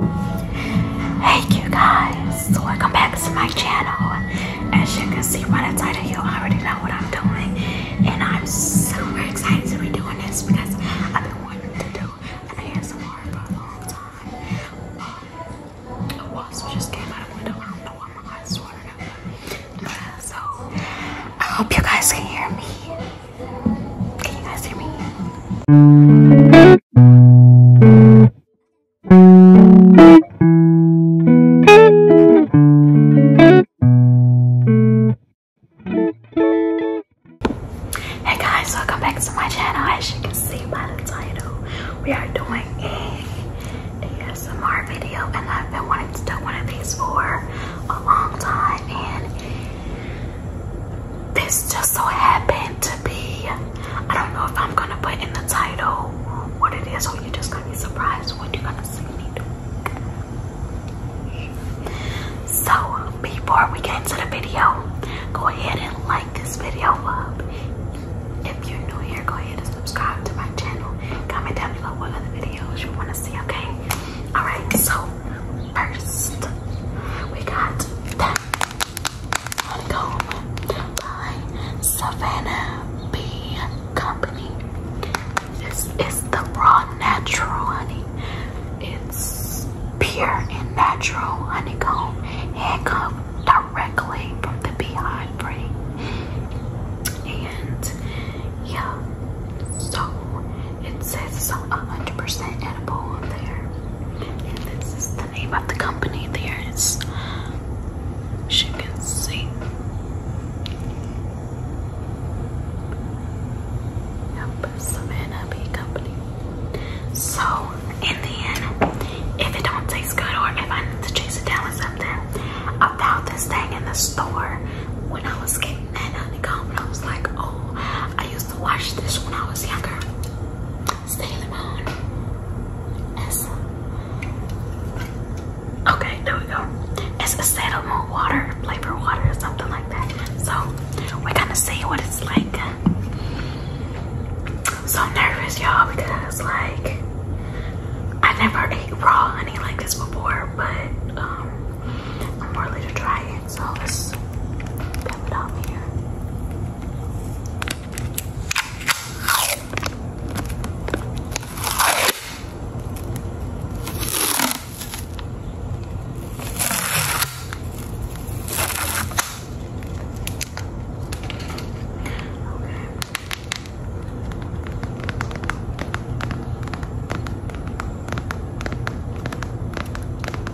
Hey you guys, welcome back to my channel. As you can see right inside of here, I already know what I'm doing. And I'm super excited to be doing this because I've been wanting to do an for a long time. Um, a wasp just came out of the window. I don't know why my eyes watered up. Uh, so, I hope you guys can hear me. Can you guys hear me? Hey guys, welcome back to my channel. As you can see by the title, we are doing a ASMR video and I've been wanting to do one of these for a long time and this just so happened to be, I don't know if I'm gonna put in the title what it is, or you're just gonna be surprised what you're gonna see me do. So, before we get into the video, go ahead and like this video up. If you're new here, go ahead and subscribe to my channel. Comment down below what other videos you wanna see, okay? Alright, so first we got the Honeycomb by Savannah Bee Company. This is the raw natural honey. It's pure and natural honeycomb handcuffed directly from the beehive brain. And yeah, so it says 100% edible on there. And this is the name of the company there. It's, as you can see. Yep, Company. So, in the end, if it don't taste good or if I need to chase it down or something, I found this thing in the store when I was kidding and that on I was like, oh, I used to watch this when I was younger. Sailor Moon. It's, okay, there we go. It's a Sailor Moon water, flavor water or something like that. So we're gonna see what it's like. So nervous, y'all, because like I never ate raw honey like this before, but um I'm more later to try it, so let's pimp it out here. Okay.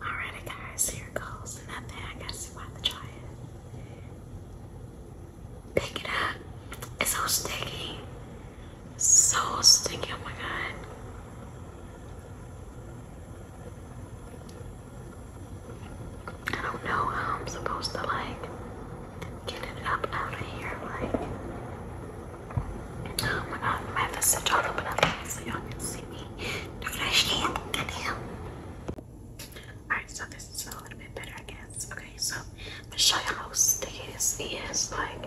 Alrighty guys, here goes nothing. I guess you want to try it. Pick it up. It's so sticky. So sticky, oh my god. I don't know how I'm supposed to like get it up out of here. Like, oh my god, my face all open up so y'all can see me. Don't I stand? Goddamn. Alright, so this is a little bit better, I guess. Okay, so I'm gonna show you how sticky this is. Like,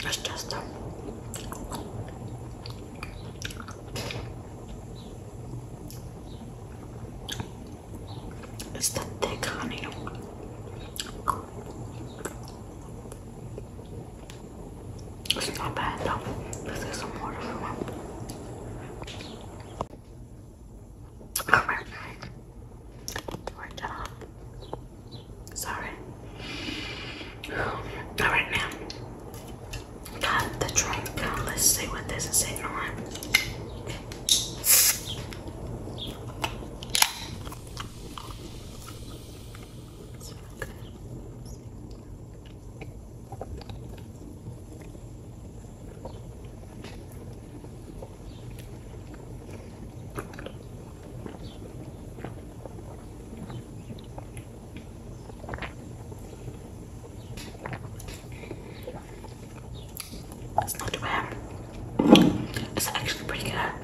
It's just a it's the thick honey. It's not bad though. This is some water for one. Alright. we Sorry. Alright, now. Got the drink. let's see what this is sitting on. It's that's not too bad. It's actually pretty good. I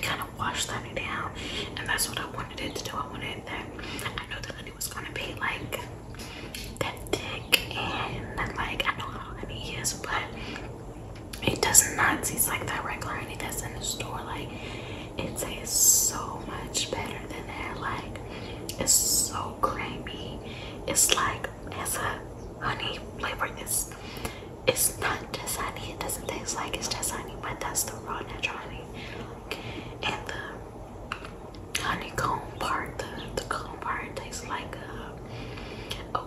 kind of washed that down, and that's what I wanted it to do. I wanted that. I know the honey was gonna be like that thick, and like I know how honey is, but it does not taste like that regular honey that's in the store. Like it tastes so much better than that. Like it's so creamy. It's like it's a honey flavor. It's it's not just honey. It doesn't taste like it's just honey, but that's the raw natural honey. And the honeycomb part, the, the comb part tastes like a,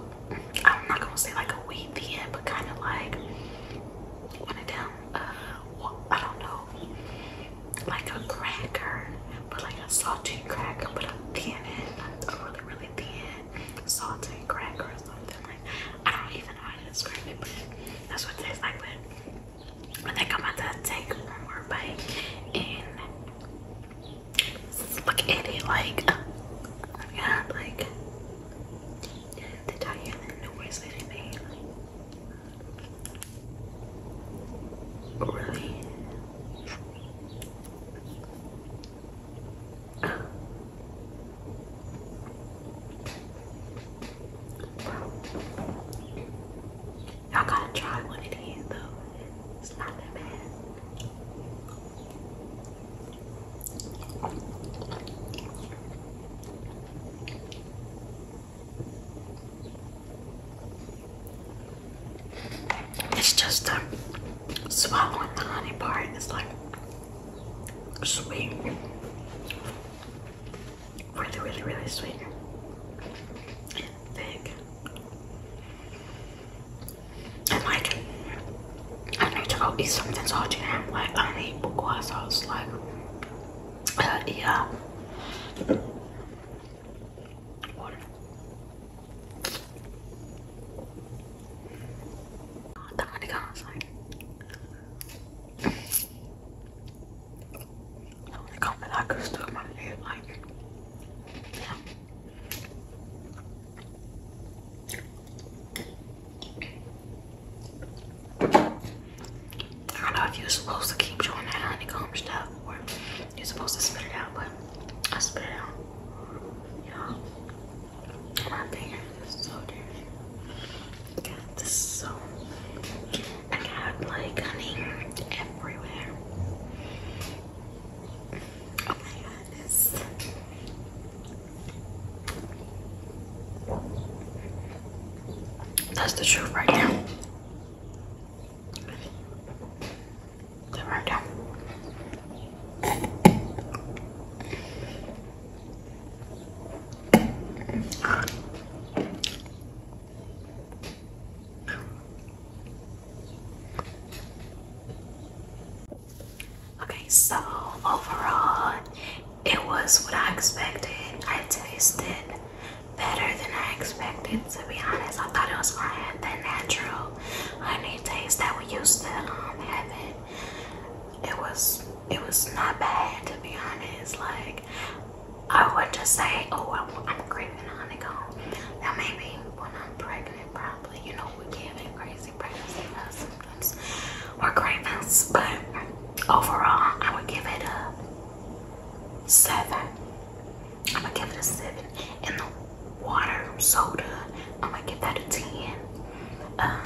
I'm not gonna say like a wheat thin, but kind of like one of them, I don't know, like a cracker, but like a salted cracker, but a thin, a really, really thin salted cracker or something like I don't even know how to describe it, but that's what it tastes like. But I think I'm about to take one more bite and look at it like, oh my god, like, the tire and the noise that it made. Really? Y'all gotta try one of though. It's not that bad. It's just um, swallowing the honey part. It's like sweet. Really, really, really sweet. And I'm like, I need to go eat something salty. And I'm like, I need bukwa sauce. Like, uh, yeah. Water. I like, I like, I still my like, yeah. I don't know if you're supposed to keep doing that honeycomb stuff or you're supposed to spit it out, but I spit it out. Y'all, my finger is so dirty. I got like honey everywhere. That's the truth right now. right now. Okay, so overall, it was what I expected. I tasted better than I expected, to be honest. I thought it was more to have that natural honey taste that we used to um, have having. It was, it was not bad, to be honest. Like, I would just say, oh, I'm, I'm craving honeycomb. Now, maybe when I'm pregnant, probably you know we can have crazy pregnancy symptoms or cravings. But overall, I would give it a seven. I'm gonna give it a seven. And the water soda, I'm gonna give that a ten. Um,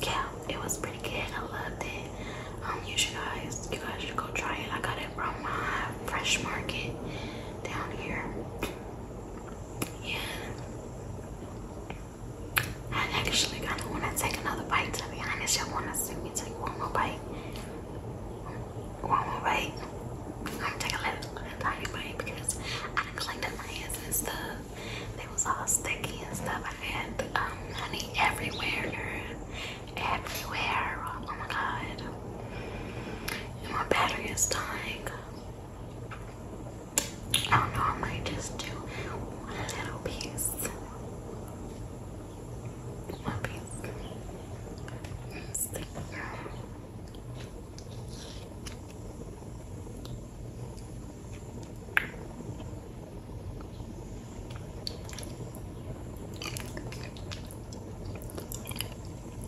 yeah, it was pretty good. I loved it. Um, you should guys, you guys should go try it. I got it from my fresh market down here. Yeah. I actually kind of want to take another bite, to be honest. Y'all want to see me take one more bite? One more bite? I'm going take a little, little tiny bite because I done cleaned up my hands and stuff. They was all sticky and stuff. I had um, honey everywhere, girl. Everywhere. Oh my god my battery is dying. I don't know, I might just do one little piece. One piece. Stick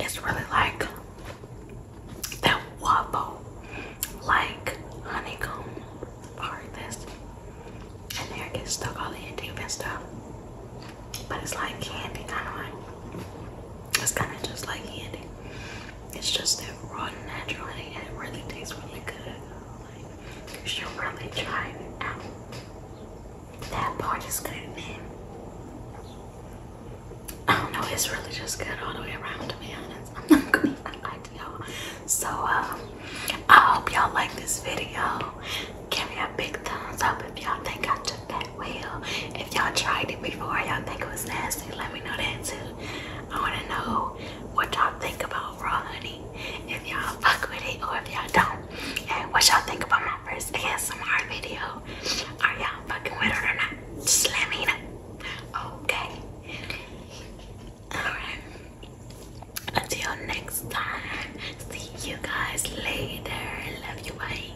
It's really like that waffle, like honeycomb part of this. And there it gets stuck all in deep and stuff. But it's like candy, kind of like. It's kind of just like candy. It's just that raw and natural honey. it really tastes really good she'll probably drive out. That part is good, man. I don't know, it's really just good all the way around, man. I'm not gonna lie to y'all. So, um, I hope y'all like this video. Give me a big thumbs up if y'all think I took that well. If y'all tried it before, y'all think it was nasty, let me know that too. I wanna know what y'all think about raw honey, if y'all fuck with it or if y'all don't, and what y'all think about my first ASMR video. Are y'all fucking with it or not? Just let me know. Okay. Alright. Until next time. See you guys later. Love you. Bye.